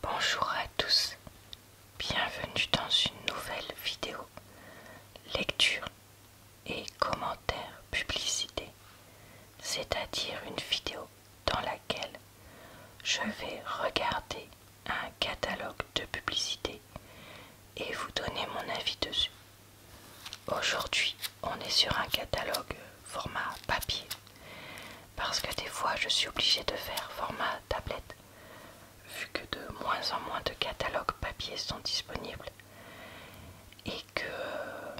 Bonjour à tous, bienvenue dans une nouvelle vidéo. Lecture et commentaires publicité, c'est-à-dire une vidéo dans laquelle je vais regarder un catalogue de publicité et vous donner mon avis dessus. Aujourd'hui, on est sur un catalogue format papier parce que des fois, je suis obligée de faire format tablette, vu que de moins en moins de catalogues papier sont disponibles et que euh,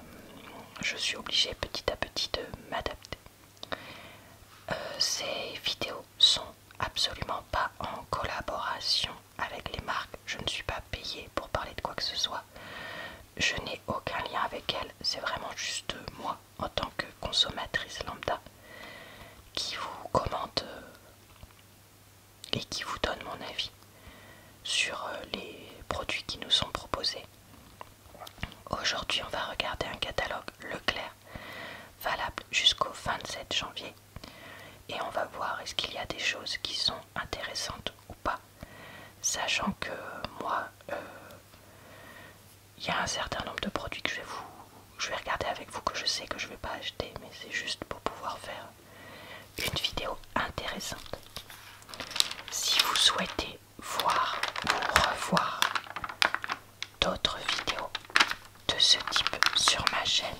je suis obligée petit à petit de m'adapter. Euh, ces vidéos sont absolument pas en collaboration avec les marques. Je ne suis pas payée pour parler de quoi que ce soit. Je n'ai aucun lien avec elles. C'est vraiment juste moi en tant que consommatrice lambda qui vous commente euh, et qui vous donne mon avis sur euh, les produits qui nous sont proposés. Aujourd'hui, on va regarder un catalogue Leclerc valable jusqu'au 27 janvier et on va voir est-ce qu'il y a des choses qui sont intéressantes ou pas, sachant que moi, euh, il y a un certain nombre de produits que je vais je vais regarder avec vous que je sais que je ne vais pas acheter mais c'est juste pour pouvoir faire une vidéo intéressante si vous souhaitez voir ou revoir d'autres vidéos de ce type sur ma chaîne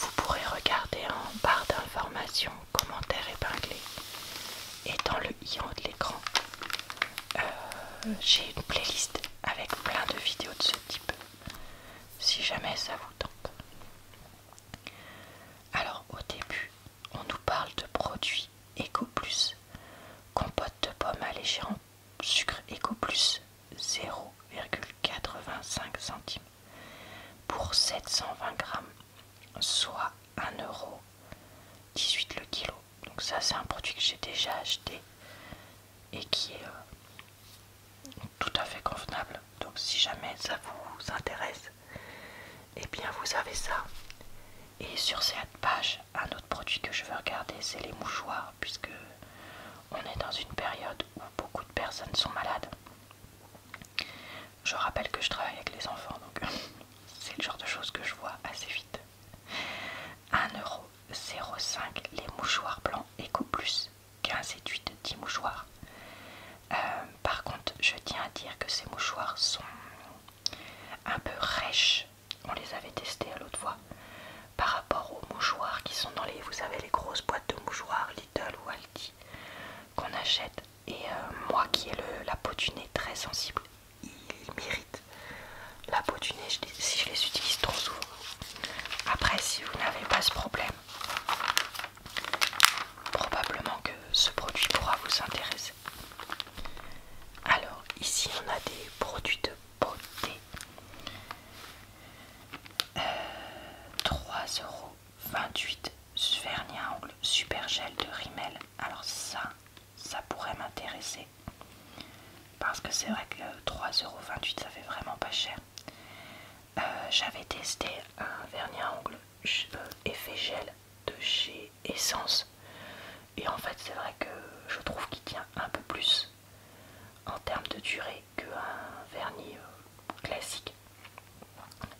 vous pourrez regarder en barre d'informations commentaires épinglés et dans le en haut de l'écran. Euh, j'ai une playlist avec plein de vidéos de ce type, si jamais ça vous tente. Alors au début, on nous parle de produits Eco Plus, compote de pommes allégée en sucre Eco Plus 0,85 centimes pour 720 grammes, soit 18 le kilo. Donc ça c'est un produit que j'ai déjà acheté et qui est euh, tout à fait convenable. Donc si jamais ça vous intéresse, et eh bien vous avez ça. Et sur cette page, un autre produit que je veux regarder, c'est les mouchoirs, puisque on est dans une période où beaucoup de personnes sont malades. Je rappelle que je travaille avec les enfants, donc c'est le genre de choses que je vois assez vite. 1,05€ les mouchoirs blancs et Eco Plus, 15 et 8, 10 mouchoirs. Euh, par contre, je tiens à dire que ces mouchoirs sont un peu rêches. On les avait testés à l'autre fois par rapport aux mouchoirs qui sont dans les, vous avez les grosses boîtes de mouchoirs Little ou Aldi qu'on achète et euh, moi qui ai le, la peau du nez très sensible, il mérite La peau du nez, si je les utilise trop souvent. Après, si vous n'avez pas ce problème, probablement que ce produit pourra vous intéresser. Alors, ici, on a des produits de beauté. 3,28€ euh, à Angle Super Gel de Rimmel. Alors ça, ça pourrait m'intéresser. Parce que c'est vrai que 3,28€ ça fait vraiment pas cher. Euh, j'avais testé un vernis à ongles effet gel de chez Essence. Et en fait, c'est vrai que je trouve qu'il tient un peu plus en termes de durée qu'un vernis euh, classique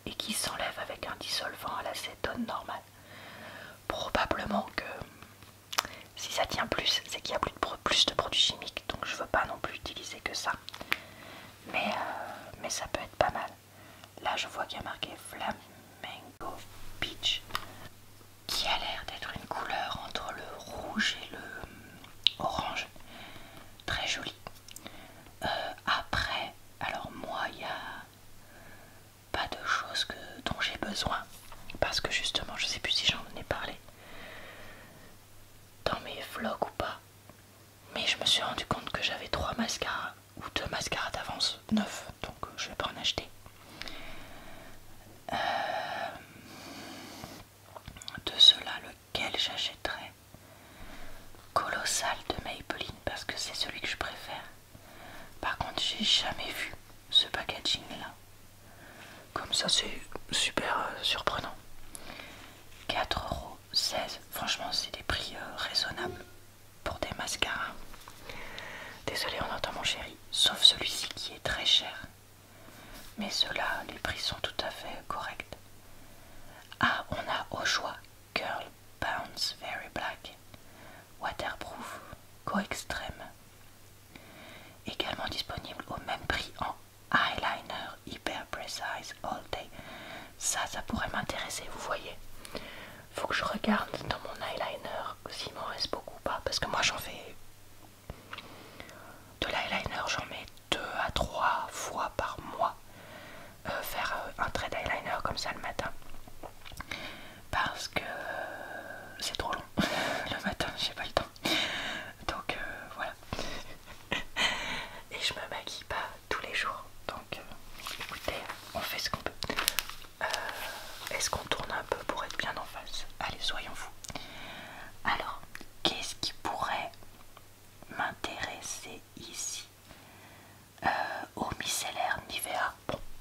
et qui s'enlève avec un dissolvant à l'acétone normal probablement que si ça tient plus, c'est qu'il y a plus de, plus de produits chimiques, donc je veux pas non plus utiliser que ça. Mais, euh, mais ça peut être pas mal. Là, je vois qu'il y a marqué Flamingo Peach, qui a l'air d'être une couleur entre le rouge et le euh, orange. Très joli. Euh, après, alors moi, il y a pas de choses dont j'ai besoin parce que justement je sais plus si j'en ai parlé dans mes vlogs ou pas mais je me suis rendu compte que j'avais trois mascaras ou deux mascaras d'avance neuf donc euh, je vais pas en acheter euh, de ceux-là lequel j'achèterais Colossal de Maybelline parce que c'est celui que je préfère par contre, j'ai jamais vu ce packaging là. Comme ça, c'est super euh, Quatre surprenant. 4,16€. Franchement, c'est des prix euh, raisonnables pour des mascaras. Désolé, on entend mon chéri. Sauf celui-ci qui est très cher. Mais ceux-là, les prix sont tout à fait corrects. Ah, on a au choix Girl Bounce Very Black, Waterproof, Co extrême. Également disponible au même prix en eyeliner hyper precise all day. Ça, ça pourrait m'intéresser, vous voyez. Faut que je regarde dans mon eyeliner s'il m'en reste beaucoup ou pas. Parce que moi j'en fais de l'eyeliner, j'en mets deux à trois fois par mois. Euh, faire euh, un trait d'eyeliner comme ça le matin parce que c'est trop long le matin, j'ai pas le temps donc euh, voilà. Et je me maquille pas tous les jours donc écoutez, on fait ce qu'on peut. Est-ce qu'on tourne un peu pour être bien en face Allez, soyons fous. Alors, qu'est-ce qui pourrait m'intéresser ici euh, eau micellaire Nivea.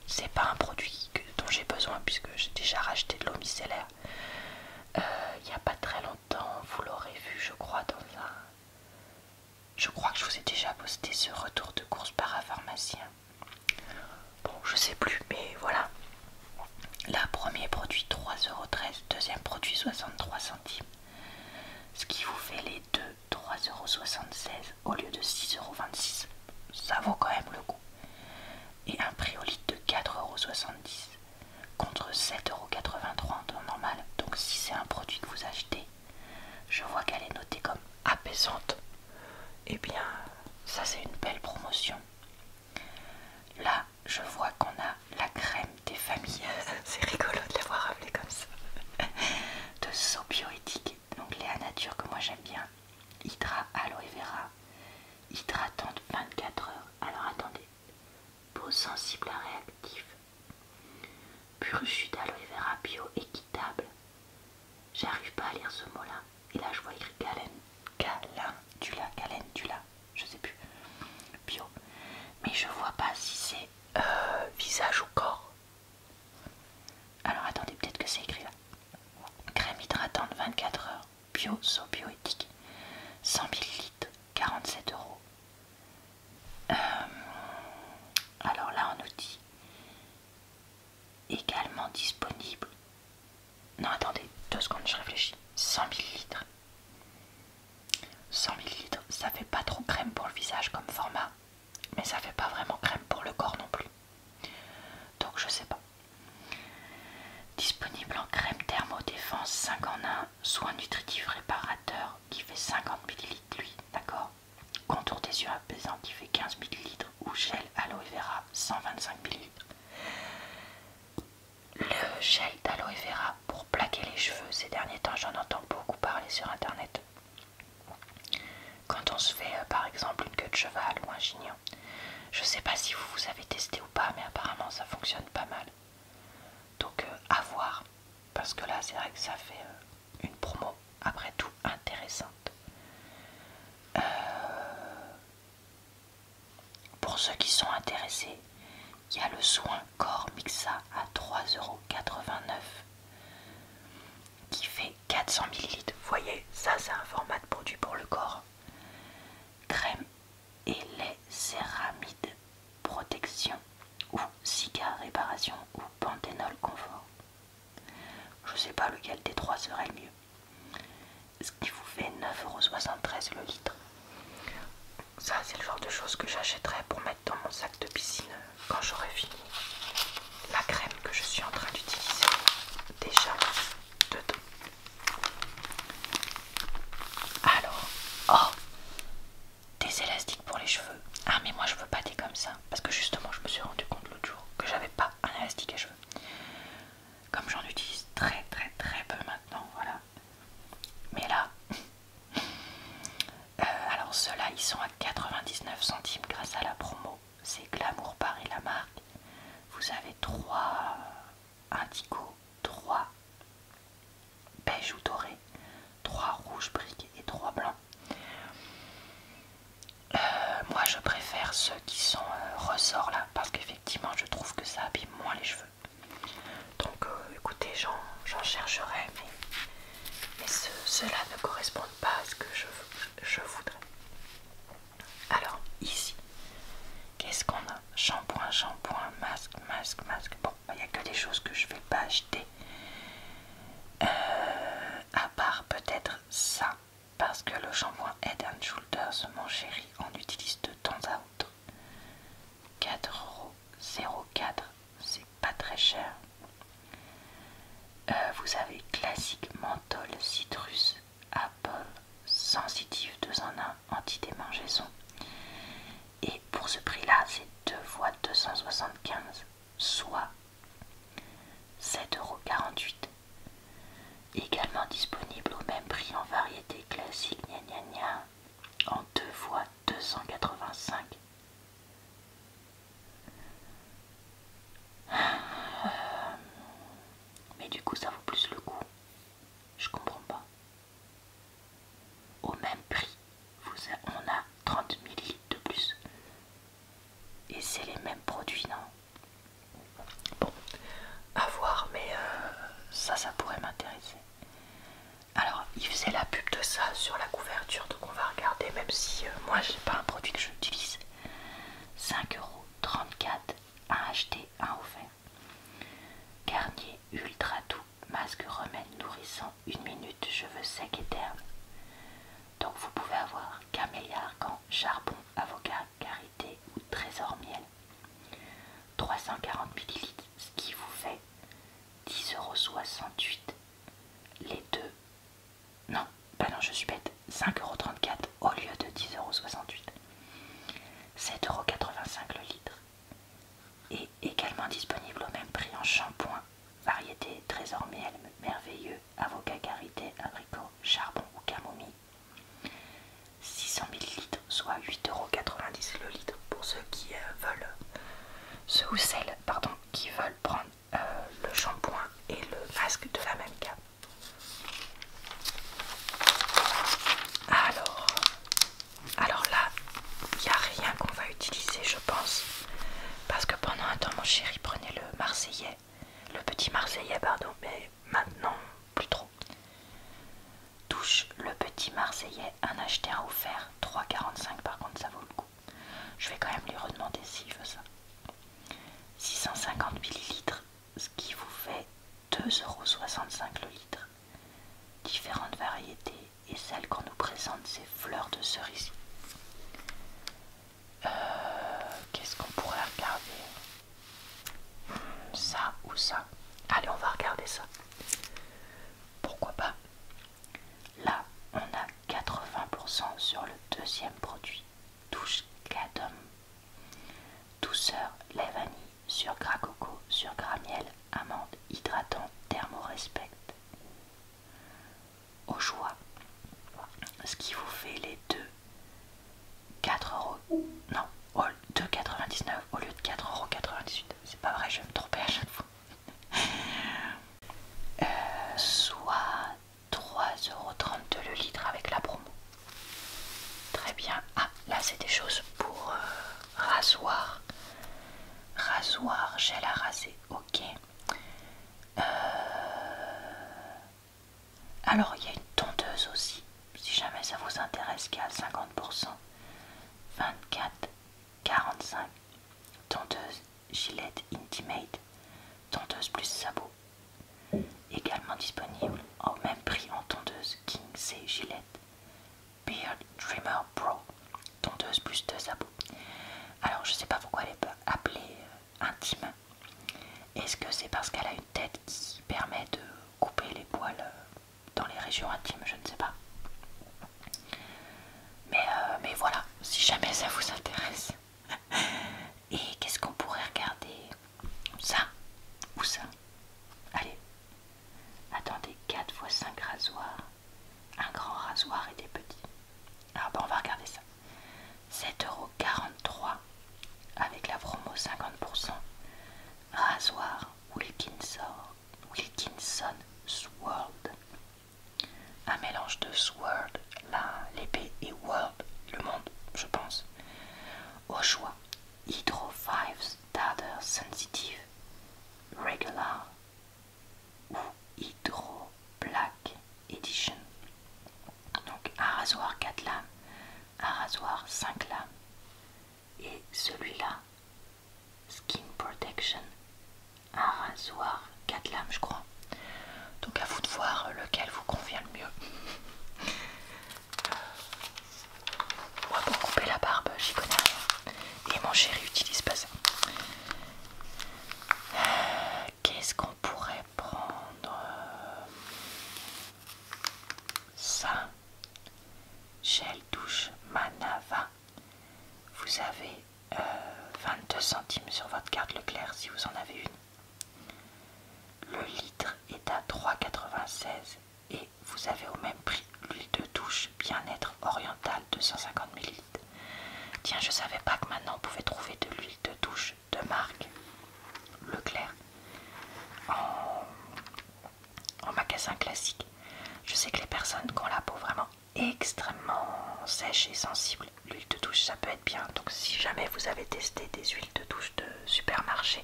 c'est pas un produit dont j'ai besoin puisque j'ai déjà racheté de l'eau micellaire il euh, n'y a pas très longtemps. Vous l'aurez vu, je crois, dans un. Je crois que je vous ai déjà posté ce retour de course par un pharmacien. Bon, je sais plus, mais voilà. La premier produit 3,13€, deuxième produit 63 centimes. Ce qui vous fait les deux 3,76€ au lieu de 6,26€. Ça vaut quand même le coup. Et un prix au litre de 4,70€ contre 7,83€ en normal. Donc si c'est un produit que vous achetez, je vois qu'elle est notée comme apaisante. et eh bien, ça c'est une belle promotion. Là, je vois qu'on a la crème des familles. c'est rigolo de l'avoir appelée comme ça. de bio donc Léa Nature que moi j'aime bien. Hydra Aloe Vera, hydratante 24 heures. Alors attendez, peau sensible à réactif, pur jus d'aloe vera bio équitable. J'arrive pas à lire ce mot-là. Et là je vois écrit du la je sais plus, bio. Mais je vois pas si c'est euh, visage ou corps. Alors attendez, peut-être que c'est écrit là. Crème hydratante 24 heures, bio, so bioéthique, 100 ml, 47 euros. Euh, alors là, on nous dit également disponible. Non, attendez, deux secondes, je réfléchis. 100 ml. 100 litres, ça fait pas trop crème pour le visage comme format mais ça fait pas vraiment crème pour le corps non plus donc je sais pas disponible en crème thermodéfense 5 en 1 soin nutritif réparateur qui fait 50 ml lui d'accord contour des yeux apaisant qui fait 15 ml ou gel aloe vera 125 ml le gel d'aloe vera pour plaquer les cheveux ces derniers temps j'en entends beaucoup parler sur internet quand on se fait euh, par exemple une queue de cheval ou un chignon, je sais pas si vous vous avez testé ou pas, mais apparemment ça fonctionne pas mal. Donc euh, à voir, parce que là c'est vrai que ça fait euh, une promo après tout intéressante. pour ceux qui sont intéressés, il y a le soin corps mixa à 3,89€ qui fait 400 ml. Voyez, ça c'est un format de produit pour le corps. Crème et les céramides protection ou cigare réparation ou panthénol confort. Je sais pas lequel des trois serait le mieux. Ce qui vous fait 9,73€ le litre. Ça c'est le genre de chose que j'achèterais pour mettre dans mon sac de piscine quand j'aurai fini la crème que je suis en train d'utiliser déjà dedans. Alors, oh, des élastiques pour les cheveux. Ah mais moi je veux pas des comme ça parce que justement je me suis rendu compte l'autre jour que j'avais pas un élastique à cheveux. Comme j'en utilise très très très peu maintenant, voilà. Mais là, euh, alors ceux-là, ils sont à 99 centimes grâce à la promo. C'est Glamour Paris la marque. Vous avez 3 euh, indigo, 3 beige ou doré, 3 rouges briques et 3 blancs. Euh, moi je préfère ceux qui sont ressorts là parce qu'effectivement je trouve que ça abîme moins les cheveux. Donc écoutez, écoutez, j'en chercherai, mais mais cela ne correspond pas à ce que je, voudrais. Alors ici, qu'est-ce qu'on a Shampoing, shampoing, masque, masque, masque. Bon, il n'y a que des choses que je ne vais pas acheter. Euh, à part peut-être ça, parce que le shampoing Head Shoulders, mon chéri, on utilise de temps à autre. 4,04€ c'est pas très cher. Euh, vous avez classique menthol citrus apple sensitive 2 en 1 anti-démangeaison. Et pour ce prix-là, c'est 2 fois 275, soit 7,48€. Également disponible au même prix en variété classique gna gna gna en 2 x 285 Mais du coup, ça vaut plus le coup. Je comprends pas. Au même prix, on a 30 ml de plus. Et c'est les mêmes produits, non Bon, à voir, mais euh, ça, ça pourrait m'intéresser. Alors, il faisait la pub de ça sur la couverture, donc on va regarder, même si euh, moi je n'ai pas un produit que j'utilise. 5,34€, à acheté, un offert. Garnier ultra doux, masque remède nourrissant, une minute, cheveux secs et ternes. Donc vous pouvez avoir camélia argan, charbon, avocat, carité ou trésor miel. 340 ml, ce qui vous fait 10,68€ les deux. Non, pas bah non, je suis bête. 5,34€ au lieu de 10,68€. 7,85€ le litre. Et également disponible au même prix en shampoing. Variété trésor miel, merveilleux, avocat carité, abricot, charbon ou camomille. 600 litres, soit 8,90€ le litre pour ceux qui euh, veulent, ce ou celles, pardon, qui veulent prendre euh, le shampoing et le masque de la même gamme. Alors, alors là, il n'y a rien qu'on va utiliser, je pense, parce que pendant un temps, mon chéri prenait le Marseillais, le petit Marseillais, pardon, mais maintenant plus trop. Touche le petit Marseillais, un acheté, un offert, 3,45 par contre, ça vaut le coup. Je vais quand même lui redemander s'il veut ça. 650 millilitres, ce qui vous fait 2,65 euros le litre. Différentes variétés et celle qu'on nous présente, c'est fleurs de cerise. Euh, qu'est-ce qu'on pourrait regarder Ça ou ça Allez, on va regarder ça. Pourquoi pas Là, on a 80% sur le deuxième produit, douche Cadum. Douceur, lait vanille, sur gras coco, sur Graniel miel, amande, hydratant, respect, Au choix, ce qui vous fait les deux 4 euros. Non, 2,99 au lieu de 4,98€. C'est pas vrai, je vais me tromper à chaque fois. Euh, soit 3,32€ le litre avec la promo. Très bien. Ah, là c'est des choses pour euh, rasoir. Rasoir, gel à raser, ok. Euh, alors il y a une tondeuse aussi, si jamais ça vous intéresse, qui est à 50%. 24, 45, tondeuse Gillette Intimate, tondeuse plus sabots, Également disponible au même prix en tondeuse King C Gillette Beard Dreamer Pro, tondeuse plus de sabots. Alors je sais pas pourquoi elle est appelée euh, intime. Est-ce que c'est parce qu'elle a une tête qui permet de couper les poils euh, dans les régions intimes, je ne sais pas. Mais, euh, voilà, si jamais ça vous intéresse. Et qu'est-ce qu'on pourrait regarder Ça Ou ça Allez. Attendez, 4 x 5 rasoirs. Un grand rasoir et des petits. alors on va regarder ça. 7,43€ avec la promo 50%. Rasoir Wilkinson Sword. Un mélange de Sword, l'épée, et World, le monde, je pense. Au choix, Hydro 5 Starter Sensitive, Regular ou Hydro Black Edition. Donc un rasoir 4 lames, un rasoir 5 lames, et celui-là, Skin Protection, un rasoir 4 lames je crois. Donc à vous de voir lequel vous convient le mieux. Euh, moi pour couper la barbe, j'y connais rien. Et mon chéri utilise pas ça. Euh, qu'est-ce qu'on pourrait prendre Ça. Gel douche Manava vous avez 22 euh, centimes sur votre carte Leclerc si vous en avez une. Le litre est à 3,96 et vous avez au même prix l'huile de douche bien-être orientale 250 ml. Tiens, je savais pas que maintenant on pouvait trouver de l'huile de douche de marque Leclerc en magasin classique. Je sais que les personnes qui ont la peau vraiment extrêmement sèche et sensible, l'huile de douche ça peut être bien. Donc si jamais vous avez testé des huiles de douche de supermarché,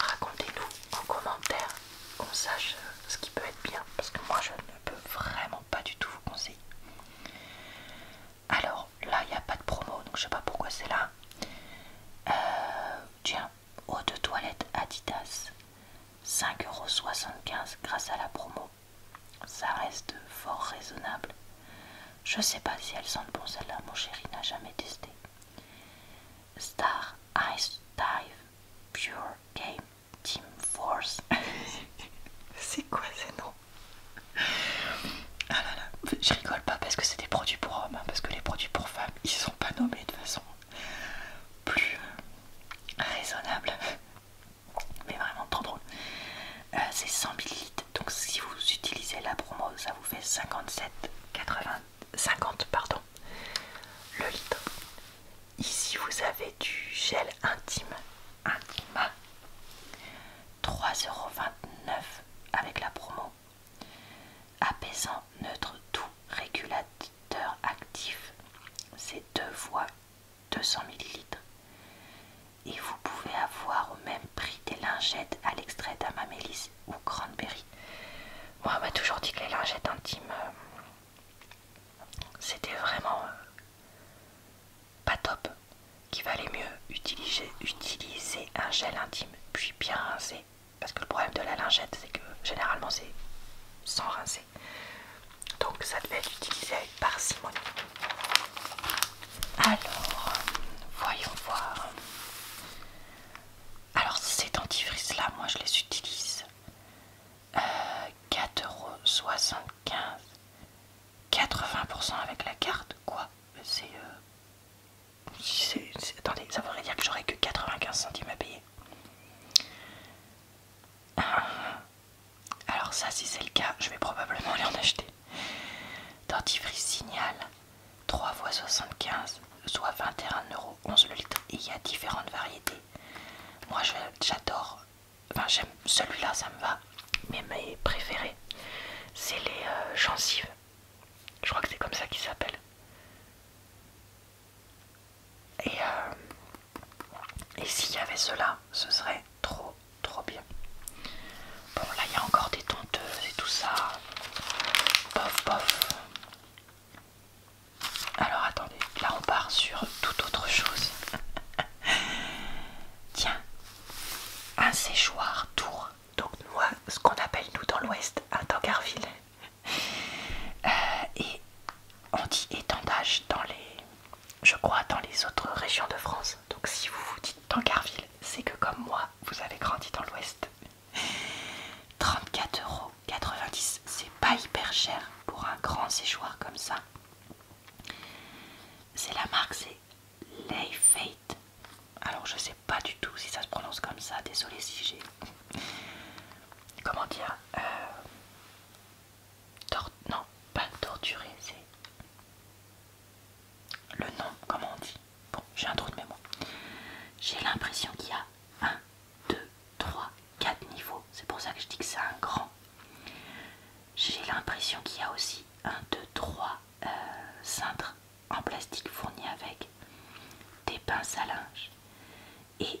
racontez-nous en commentaire qu'on sache euh, ce qui peut être bien parce que moi je ne peux vraiment pas du tout vous conseiller. Alors là il n'y a pas de promo donc je sais pas pourquoi c'est là. Euh, tiens, eau de toilette Adidas, 5,75€ grâce à la promo. Ça reste fort raisonnable. Je sais pas si elles sentent bon celle-là, mon chéri n'a jamais testé. Star Ice Dive Pure Game Team Force. c'est quoi ces noms Ah là là, je rigole pas parce que c'est des produits pour hommes, hein, parce que les produits pour femmes, ils sont pas nommés de façon plus raisonnable, mais vraiment trop drôle. Euh, c'est 100 ml, donc si vous utilisez la promo, ça vous fait 80 50 pardon le litre. Ici vous avez du gel intime Intima 3,29€ avec la promo apaisant neutre tout régulateur actif, c'est 2 fois 200 ml. Et vous pouvez avoir au même prix des lingettes à l'extrait d'amamélis ou cranberry. Moi, on m'a toujours dit que les lingettes intimes, euh, c'était vraiment euh, pas top. Qu'il valait mieux utiliser, utiliser un gel intime, puis bien rincer parce que le problème de la lingette, c'est que généralement c'est sans rincer. Donc ça devait être utilisé avec parcimonie. Alors, voyons voir. Alors ces dentifrices là, moi je les utilise. 4,75 4,75€. 80% avec la carte, quoi euh, C'est... Attendez, ça voudrait dire que j'aurais que 95 centimes à payer. Ah. alors ça si c'est le cas je vais probablement aller en acheter dentifrice signal 3 x 75 soit 21,11€ le litre et il y a différentes variétés moi j'adore enfin j'aime celui-là ça me va mais mes préférés c'est les euh, gencives je crois que c'est comme ça qu'ils s'appellent euh, et, s'il y avait cela, ce serait trop trop bien. Bon là il y a encore des tonteuses et tout ça. Bof bof. Alors attendez, là on part sur tout autre chose. Tiens, un séchoir tour. Donc euh, ce qu'on appelle nous dans l'ouest un Tankerville. Euh, et on dit étendage dans les, je crois, dans les autres régions de France. Donc si vous vous dites Carville, c'est que comme moi, vous avez grandi dans l'Ouest. 34,90€, c'est pas hyper cher pour un grand séchoir comme ça. C'est la marque, c'est Lay Fate. Alors je sais pas du tout si ça se prononce comme ça, désolé si j'ai comment dire euh, non pas torturé c'est le nom comment on dit bon j'ai un trou de mémoire j'ai l'impression qu'il y a 1 2 3 4 niveaux c'est pour ça que je dis que c'est un grand j'ai l'impression qu'il y a aussi 1 2 3 cintres en plastique fournis avec des pinces à linge et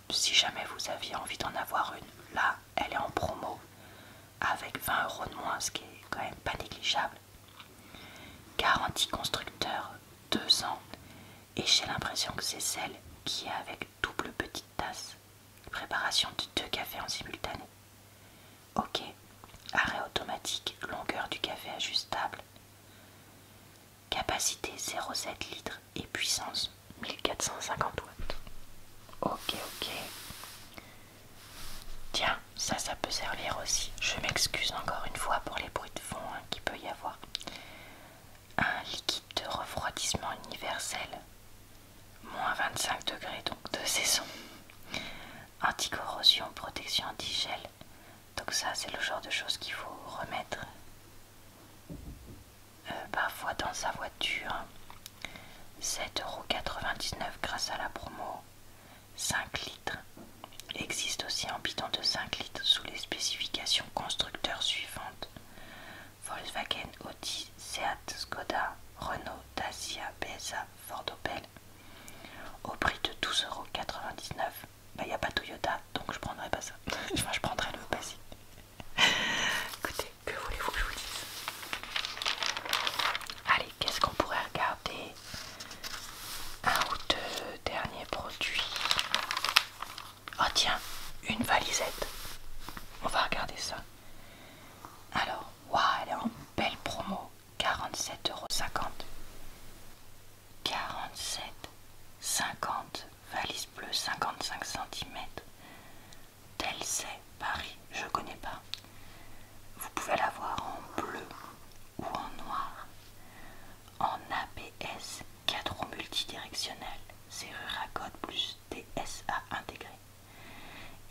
si jamais vous aviez envie d'en avoir une, là elle est en promo avec 20 euros de moins, ce qui est quand même pas négligeable. Garantie constructeur deux ans, et j'ai l'impression que c'est celle qui est avec double petite tasse, préparation de deux cafés en simultané. Ok, arrêt automatique, longueur du café ajustable, capacité 0,7 litres, et puissance 1450 watts. Ok, ok. Tiens, ça, ça peut servir aussi. Je m'excuse encore une fois pour les bruits de fond qui hein, qu'il peut y avoir. Un liquide de refroidissement universel, moins 25 degrés donc de saison. anti-corrosion, protection anti-gel. Donc ça, c'est le genre de choses qu'il faut remettre euh, parfois dans sa voiture. 7,99€ grâce à la promo. 5 litres existe aussi en bidon de 5 litres sous les spécifications constructeurs suivantes Volkswagen, Audi, Seat, Skoda, Renault, Dacia, PSA, Ford Opel. Au prix de 12,99€, bah, il n'y a pas Toyota donc je prendrai pas ça. je prendrai le basique. Écoutez, que voulez-vous que je vous dise Allez, qu'est-ce qu'on pourrait regarder Un ou deux derniers produits. Oh tiens, une valisette. On va regarder ça. Alors, waouh, elle est en belle promo. 47,50€. 47,50 valise bleue 55 cm. Tel c'est Paris, je connais pas. Vous pouvez l'avoir en bleu ou en noir. En ABS, cadre multidirectionnel, serrure à code plus DSA intégré.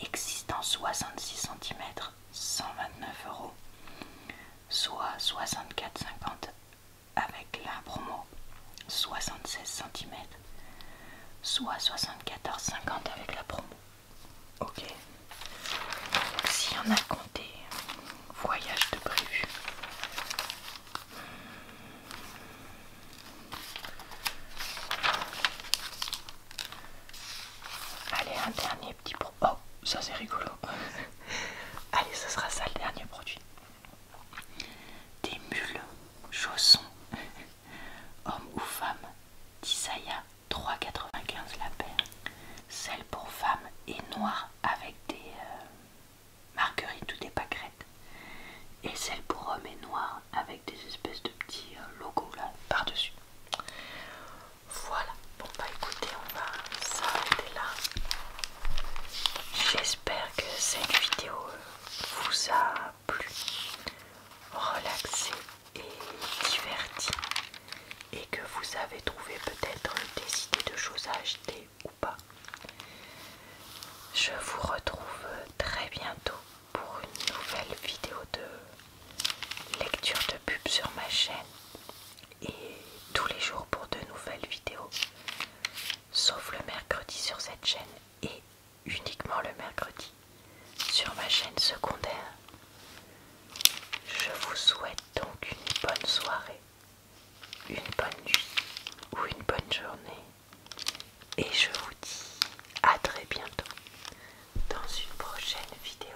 existant 66 cm, 129 euros, soit 64,50 avec la promo 76 cm, soit 74,50 avec la promo. Ok. Si on a compté, voyage de prévu. Allez, un dernier petit pro. Oh, ça c'est rigolo. Allez, ce sera ça le dernier produit. Des mules, chaussons, hommes ou femmes, Tisaya 3,95 la paire. Celle pour femmes est noire avec des euh, marguerites ou des pâquerettes. Et celle pour hommes est noire avec des espèces de petits euh, logos là par-dessus. Voilà, bon bah écoutez, on va s'arrêter là. J'espère que cette vidéo euh, vous a plu, relaxé et diverti et que vous avez trouvé peut-être des idées de choses à acheter ou pas. Je vous retrouve très bientôt pour une nouvelle vidéo de lecture de pub sur ma chaîne et tous les jours pour de nouvelles vidéos sauf le mercredi sur cette chaîne et uniquement le mercredi sur ma chaîne secondaire. Je vous souhaite donc une bonne soirée, une bonne nuit ou une bonne journée et je vous dis à très bientôt dans une prochaine vidéo.